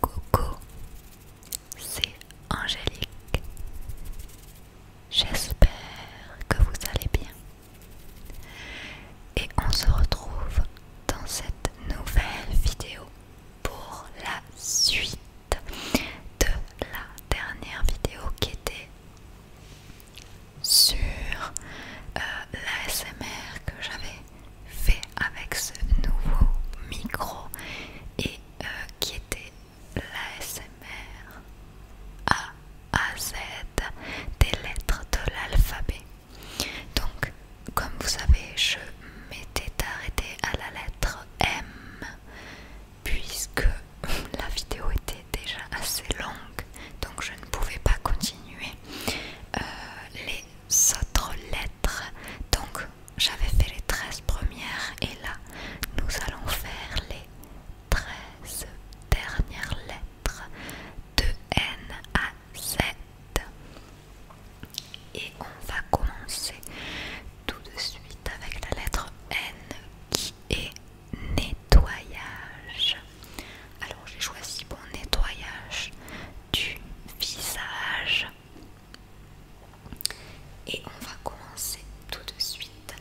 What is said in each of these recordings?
Coucou, c'est Angélique. J'espère que vous allez bien. Et on se retrouve dans cette nouvelle vidéo pour la suite de la dernière vidéo qui était sur euh, la l'ASMR que j'avais fait avec ce nouveau micro et euh, qui était l'ASMR A à Z des lettres de l'alphabet. Donc comme vous savez je m'étais arrêtée à la lettre M puisque la vidéo était déjà assez longue donc je ne pouvais pas continuer euh, les autres lettres. Donc j'avais fait les 13 premières et là nous allons faire les 13 dernières lettres de N à Z. Et on va commencer tout de suite avec la lettre N qui est nettoyage. Alors j'ai choisi mon nettoyage du visage. Et on va commencer tout de suite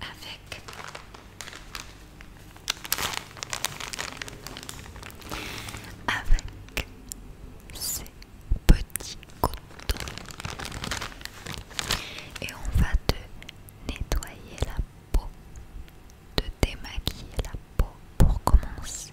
avec avec ces petits cotons. Et on va te nettoyer la peau de démaquiller la peau pour commencer.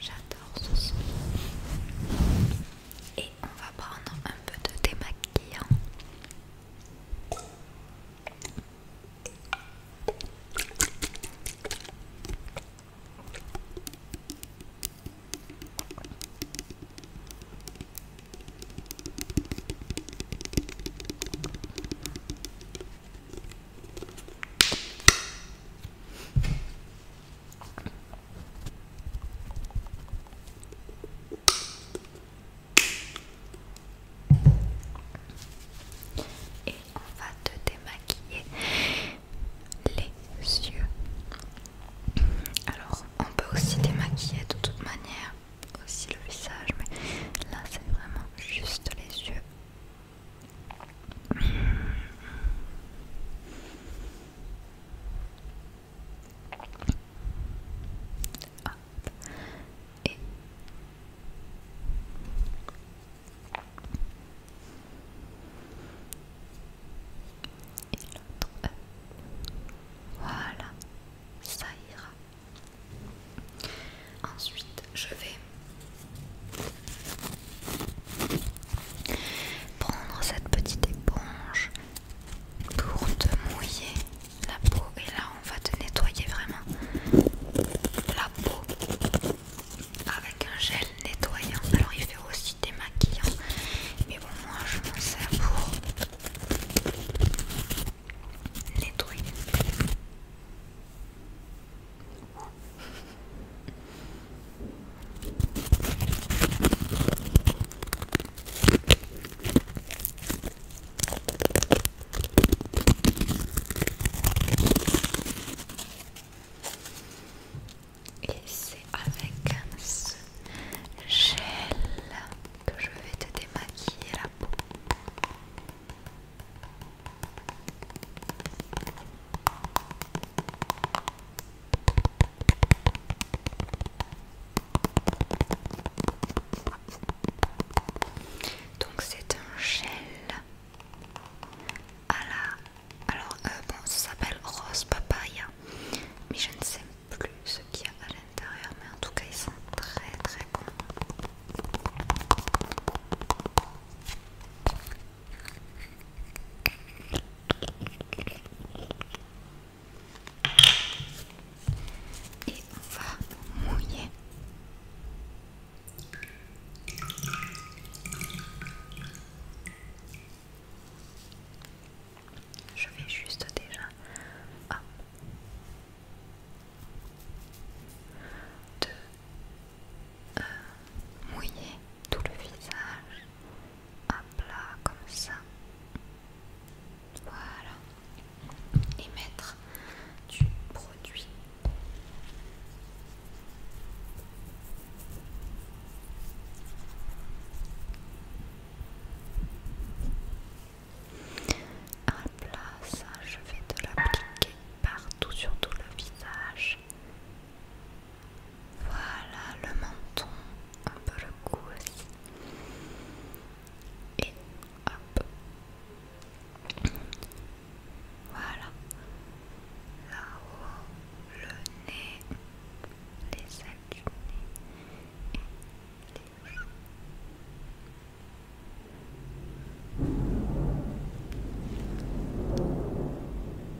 J'adore ce son. Et on va prendre un peu de démaquillant. Et on va te démaquiller les yeux. Alors, on peut aussi démaquiller de toute manière aussi le visage, mais là c'est vraiment juste les yeux et... l'autre Voilà, ça ira. Ensuite, je vais Prendre cette petite éponge pour te mouiller la peau et là on va te nettoyer vraiment la peau avec un gel nettoyant. Alors il fait aussi des maquillants, mais bon moi je m'en sers pour nettoyer. Et c'est avec ce gel que je vais te démaquiller la peau. Donc c'est un gel à la... Alors euh, bon, ça s'appelle rose papaya, mais je ne sais plus ce qu'il y a à l'intérieur, mais en tout cas ils sont très très bons. Et on va mouiller. Je vais juste déjà euh, mouiller tout le visage à plat comme ça. Voilà. Et mettre du produit. À plat, ça, je vais te l'appliquer partout sur tout le visage. Voilà le menton, un peu le cou aussi. Et hop. Voilà. Là-haut, le nez, les ailes du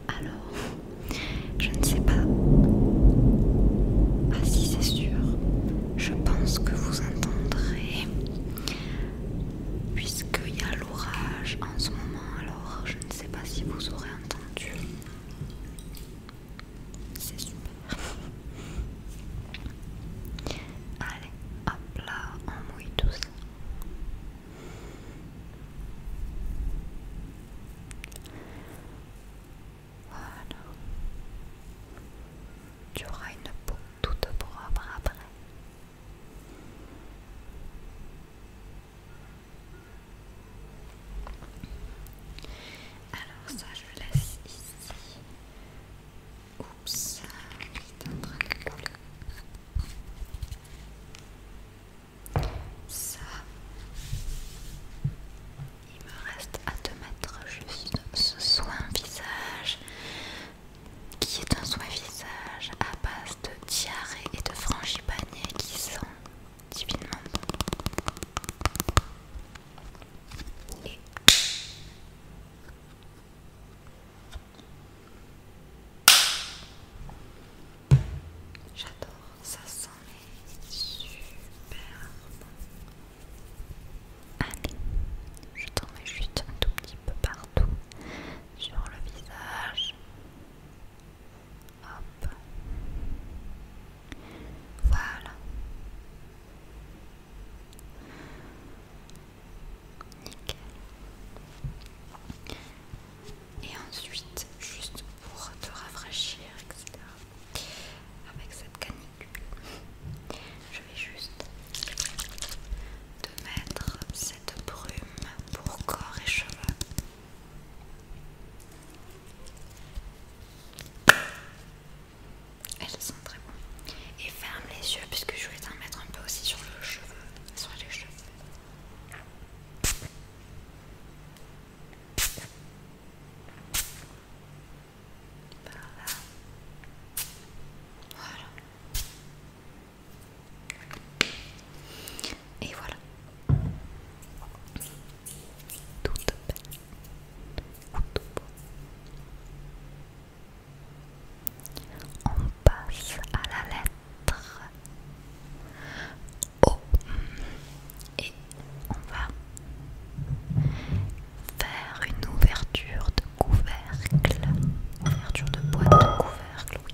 alors, je ne sais pas. Ah si c'est sûr, je pense que vous entendrez, puisqu'il y a l'orage en ce moment, alors je ne sais pas si vous aurez entendu. C'est super. Allez, hop là, on mouille tout ça. Voilà. Tu auras une peau toute propre après. Alors ça, je laisse ici. Oups, c'est en train de ça. Il me reste à te mettre juste ce soin visage qui est un soin visage à base de diarrhée et de frangipanier qui sent divinement J'adore, ça sent les super Allez, je t'en mets juste un tout petit peu partout sur le visage. Hop. Voilà. Nickel et ensuite juste pour te rafraîchir, etc. Avec cette canicule, je vais juste te mettre cette brume pour corps et cheveux. Elles sont très bonnes. Et ferme les yeux puisque je vais t'en mettre un peu aussi sur le cheveu, sur les cheveux. Voilà. Voilà. Et voilà. Toute belle. Tout beau. En passe à la lettre O mm, et on va faire une ouverture de couvercle, ouverture de boîte de couvercle,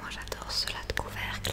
Moi j'adore cela de couvercle.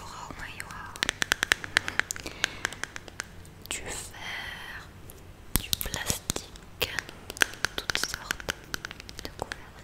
aura au moins Du fer, du plastique, toutes sortes de couleurs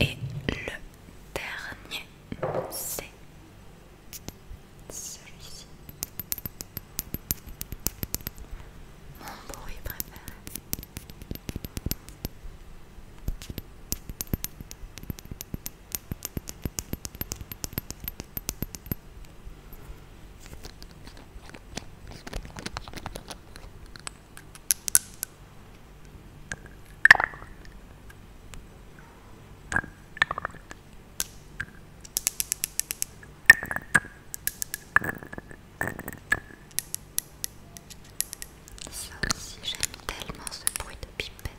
et le dernier, c'est celui-ci. Mon bruit préféré. Ça aussi, j'aime tellement ce bruit de pipette.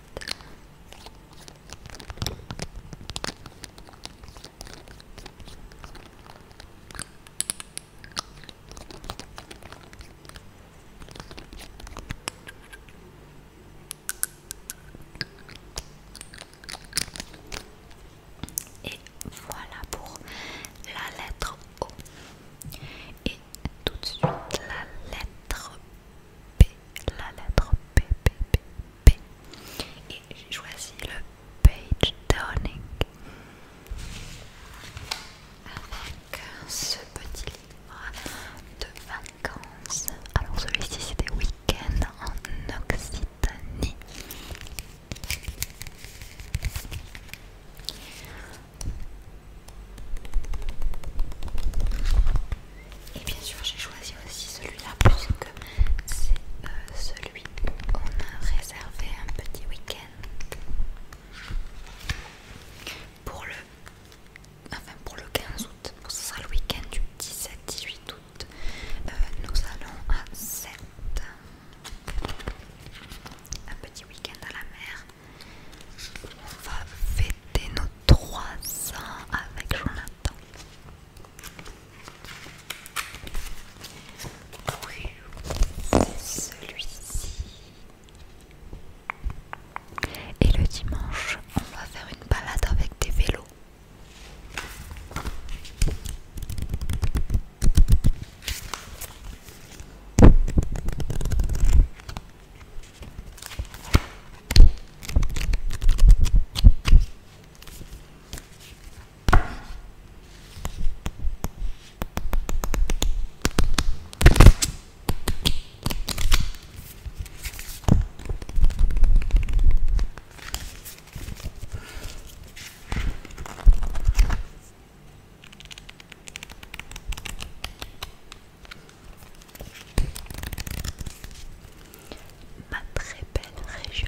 Et voilà pour la lettre O. Et tout de suite la lettre P. La lettre P, P, Et j'ai choisi le page turning. Avec ce petit de vacances. Alors celui-ci des week-end en Occitanie. Et bien sûr j'ai choisi aussi celui-là parce que c'est euh, celui on a réservé un petit week-end pour le ah, enfin pour le 15 août, ce sera le week-end du 17-18 août, euh, nous allons à Sète. un petit week-end à la mer. On va fêter nos 300 avec Jonathan. Oui, c'est celui-ci. Et le dimanche, on va faire une balade avec des vélos. Ma très belle région.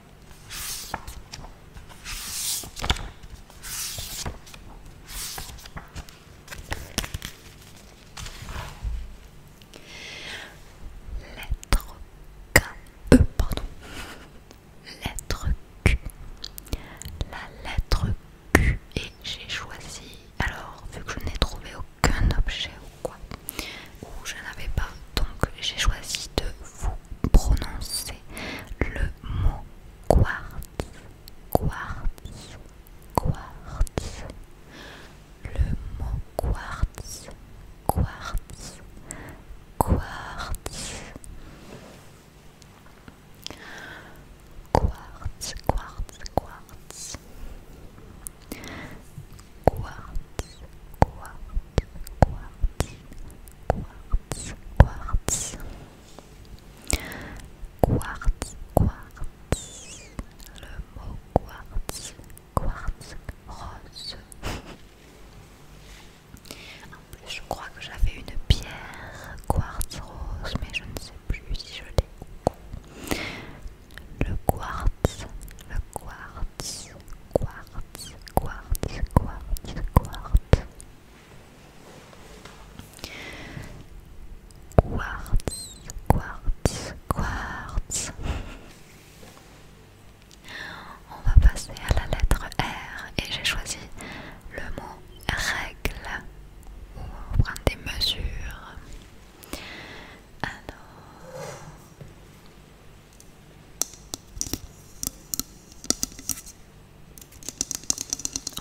Lettre K, euh, pardon. Lettre Q. La lettre Q et j'ai choisi. Alors, vu que je n'ai trouvé aucun objet ou je n'avais pas, donc j'ai choisi de vous prononcer le mot quartz, quartz, quartz, le mot quartz, quartz, quartz. Quartz, quartz, quartz quartz, quartz, quartz, quartz, quartz, quartz, quartz, le mot quartz, quartz rose. En plus, je crois que j'avais une pierre quartz rose, mais je ne sais plus si je l'ai. Le quartz, le quartz, quartz, quartz, quartz, quartz, quartz. Quartz, quartz, quartz. On va passer à la lettre R et j'ai choisi le mot règle pour prendre des mesures. Alors,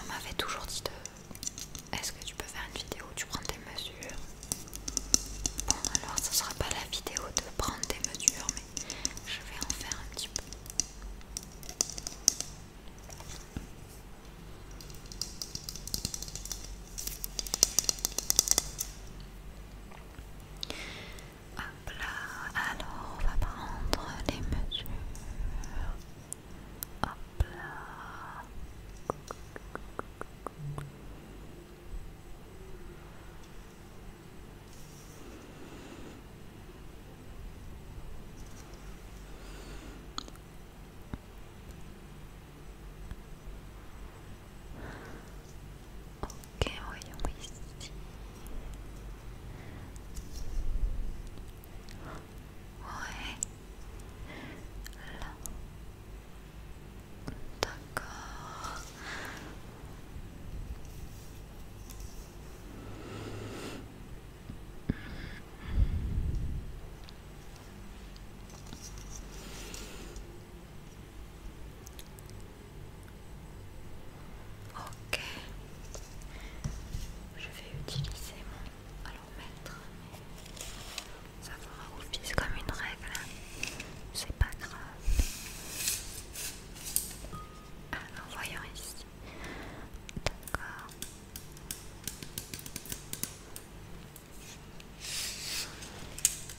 on m'avait toujours dit de... Est-ce que tu peux faire une vidéo où tu prends des mesures Bon alors ce sera pas la vidéo de prendre des mesures mais je vais en faire un petit peu. Hop alors on va prendre les mesures. Ok, voyons ici. Ouais. Là. D'accord. Ok, je vais utiliser mon allomètre, mais ça fera office comme une règle, c'est pas grave. Alors voyons ici, d'accord.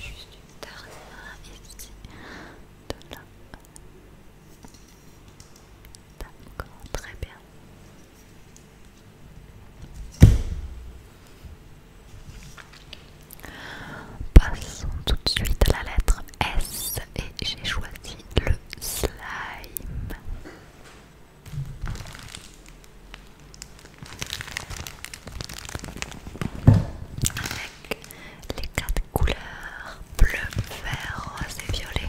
Juste une dernière ici, de là. D'accord, très bien. Passons tout de suite à la lettre S et j'ai choisi le slime. Avec les quatre couleurs bleu, vert, rose et violet.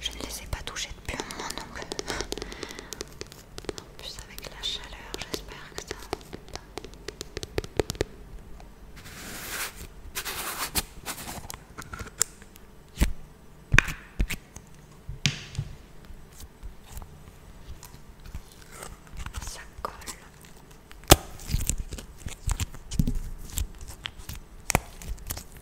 Je ne les ai pas touchés depuis un moment donc. En plus, avec la chaleur, j'espère que ça. Ça colle.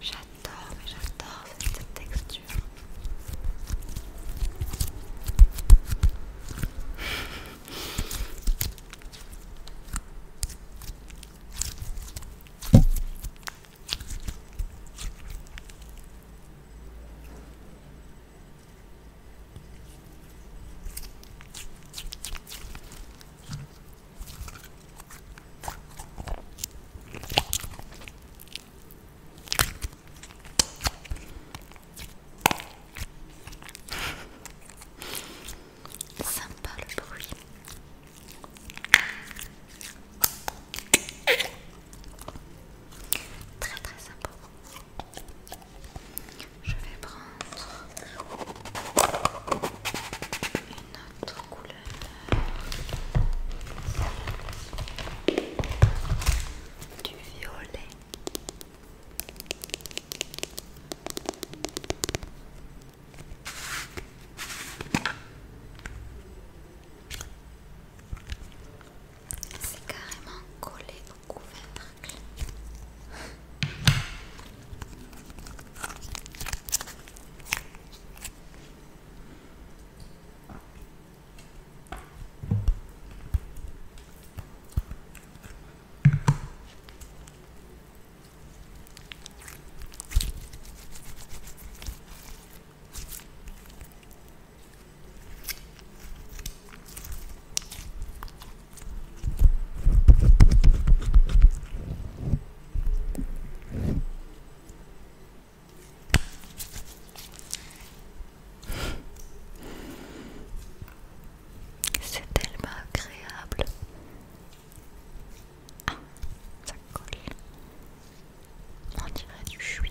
J'adore, j'adore cette texture. Sympa le bruit. Très très sympa. Je vais prendre une autre couleur. Du violet. C'est carrément collé au couvercle. C'est tellement agréable. Ah, ça colle. On dirait du chouï.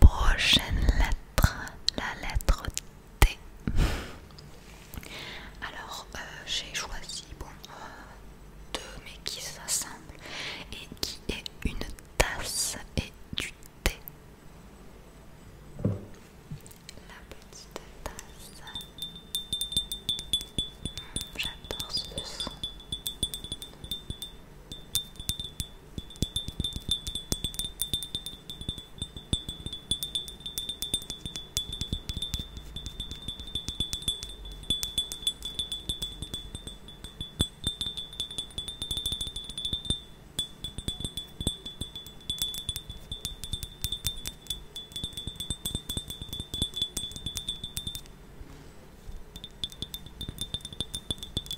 Prochaine lettre, la lettre T. Alors euh, j'ai choisi bon euh, deux mais qui s'assemblent et qui est une tasse et du thé la petite tasse. Mmh, j'adore ce son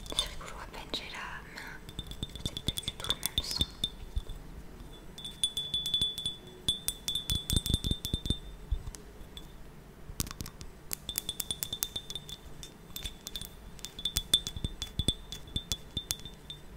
je rigolo, à peine j'ai la main, c'est plus du tout le même son.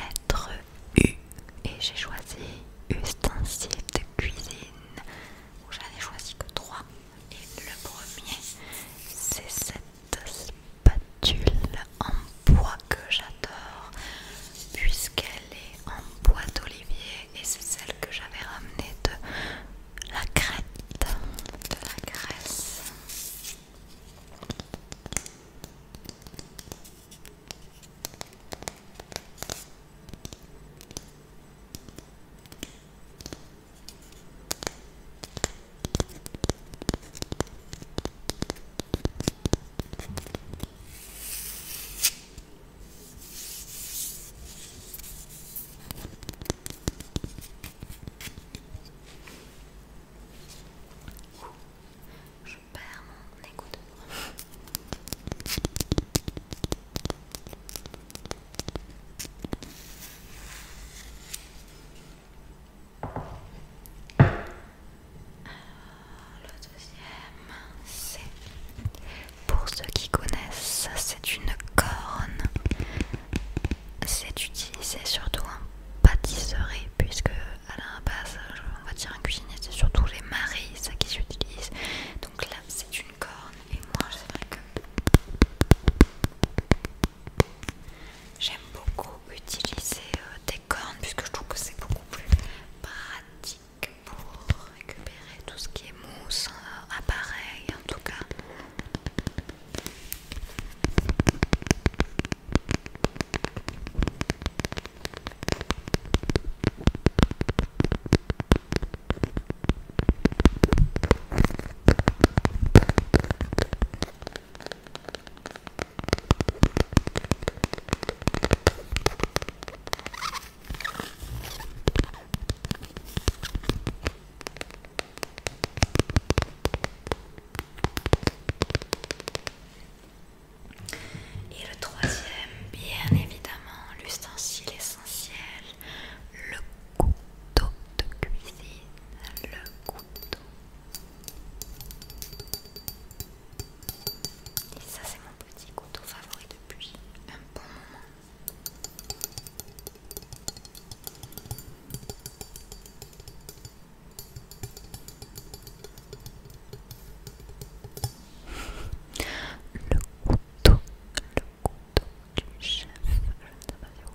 Lettre U et j'ai choisi ustensile de cuisine. J'en ai choisi que trois et le premier c'est cette spatule en bois que j'adore puisqu'elle en bois d'olivier et c'est celle que j'avais ramenée de la crête, de la Grèce. Je perds mon écouteur. Ah, le deuxième, c'est pour ceux qui connaissent, c'est une corne. C'est utilisé surtout en pâtisserie, puisque à la base, on va dire un cuisinier, c'est surtout les maris, ça qui s'utilisent Donc là, c'est une corne, et moi, c'est vrai que j'aime beaucoup utiliser euh, des cornes, puisque je trouve que c'est beaucoup plus pratique pour récupérer tout ce qui est mousse, euh, appareil en tout cas. Et le troisième, bien évidemment, l'ustensile essentiel, le couteau de cuisine, le couteau. Et ça c'est mon petit couteau favori depuis un bon moment. Le couteau, le couteau du chef, je ne vous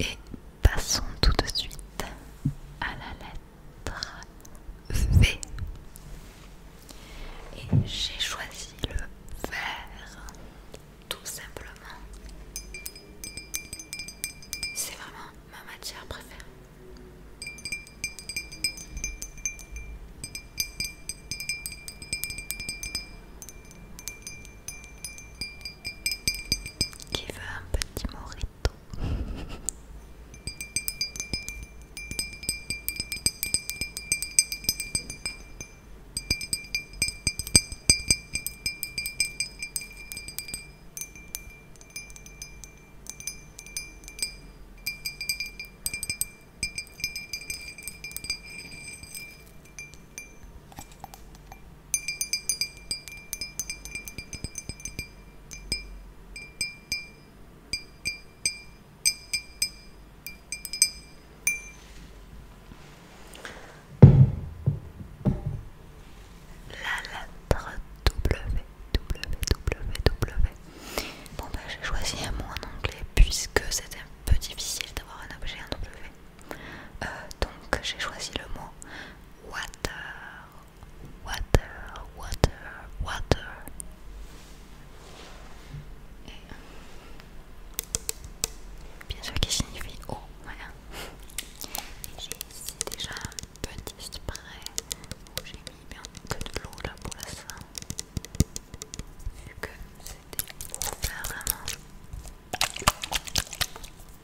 Et passons tout de suite à la lettre V. Et j'ai choisi le vert, tout simplement. C'est vraiment ma matière préférée. Qui veut un petit morito la lettre W, W, W. Bon, ben, j'ai choisi un mot en anglais puisque c'était un peu difficile d'avoir un objet en W. Euh, donc j'ai choisi le mot water, water, water, water. Euh, bien sûr qui signifie eau, voilà. Et j'ai ici déjà un petit spray où j'ai mis bien que de l'eau là pour la fin. Vu que c'était vraiment.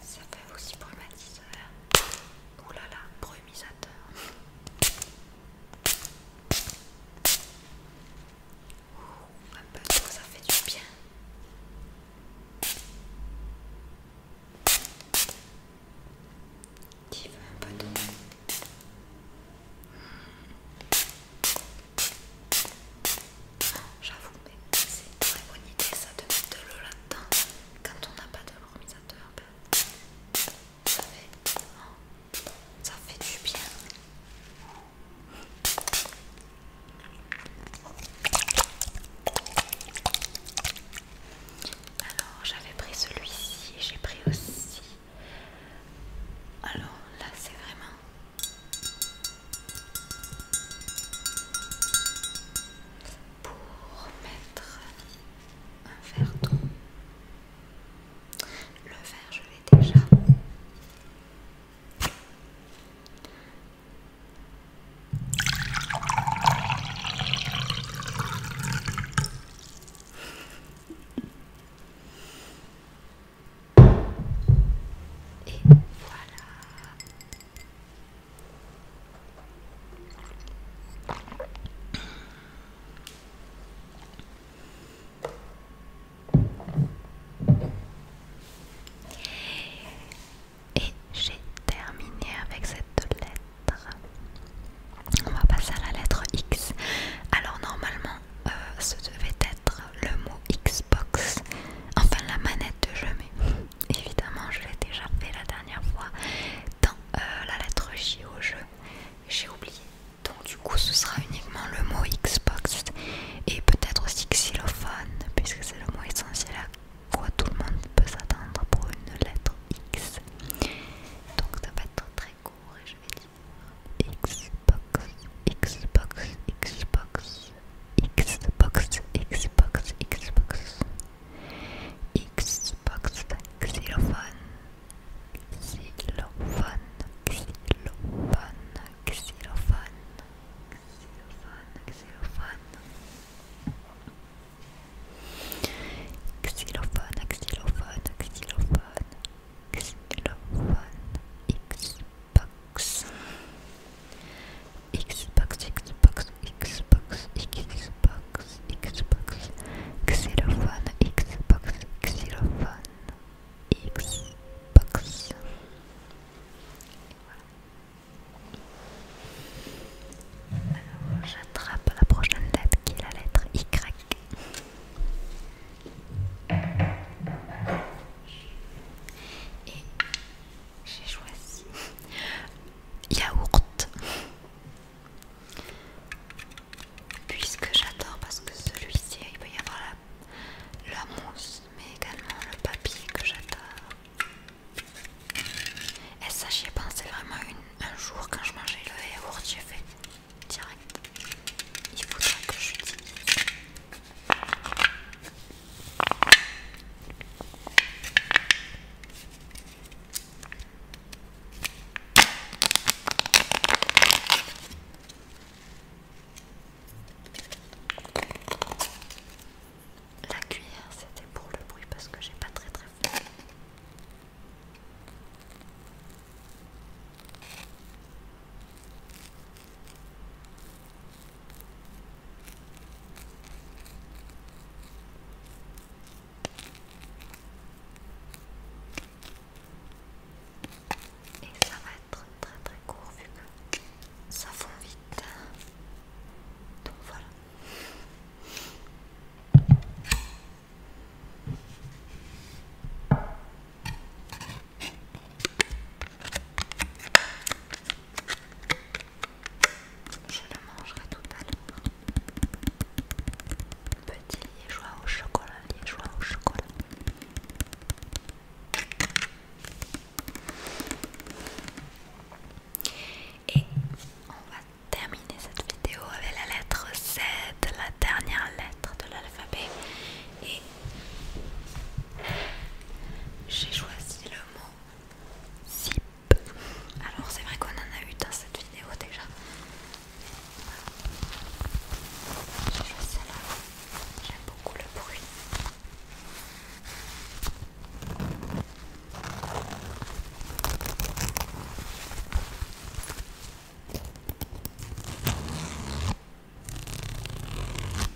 Ça fait aussi brumatiseur. Ouh là là, brumisateur. Ouh, un peu ça fait du bien. Qui veut un peu d'eau J'avoue, mais c'est une très bonne idée ça de mettre de l'eau là-dedans quand on n'a pas de l'ormisateur. Ben, ça fait, ça fait du bien. Alors j'avais pris celui-ci et j'ai pris aussi. Alors là c'est vraiment pour mettre un d'eau Le verre, je l'ai déjà. Et voilà. Et j'ai terminé avec cette lettre. On va passer à la lettre X. Alors normalement, euh, ce devait être le mot Xbox, enfin la manette de jeu, évidemment je l'ai déjà fait la dernière fois dans euh, la lettre J au jeu j'ai oublié donc du coup ce sera uniquement le mot Xbox et peut-être aussi xylophone puisque c'est le mot essentiel à quoi tout le monde peut s'attendre pour une lettre X donc ça va être très court et je vais dire Xbox Xbox Xbox Xbox, Xbox, Xbox, Xbox, xylophone, xylophone, xylophone, xylophone, xylophone, xylophone, xylophone, xylophone, xylophone, xylophone, xylophone, Xbox Xbox Xbox Xbox Xbox Xbox Xylophone Xbox Xylophone Xbox Alors j'attrape la prochaine lettre qui est la lettre Y j'ai choisi yaourt puisque j'adore parce que celui-ci il peut y avoir la, mousse mais également le papier que j'adore et ça j'y ai pensé vraiment un jour quand je mangeais le yaourt j'ai fait direct il faudra que j'utilise la cuillère, c'était pour le bruit parce que j'ai pas très très faim. Et ça va être très très court vu que ça fond vite. Donc voilà. Je le mangerai tout à l'heure. Petit liégeois au chocolat, liégeois au chocolat. Et on va terminer cette vidéo avec la lettre Z, la dernière lettre de l'alphabet. Et j'ai choisi le mot Zip. Alors c'est vrai qu'on en a eu dans cette vidéo déjà. J'aime beaucoup le bruit.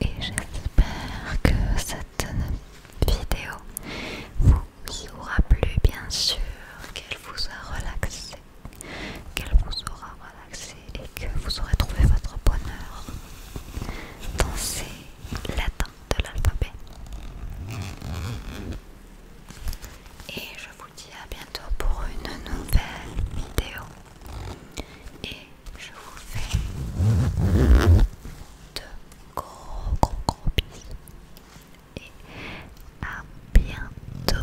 Et j'espère que cette vidéo vous aura plu, bien sûr, qu'elle vous a relaxé, qu'elle vous aura et que vous aurez trouvé votre bonheur dans ces lettres de l'alphabet. Et je vous dis à bientôt pour une nouvelle vidéo. Et je vous fais de gros gros gros bisous. Et à bientôt.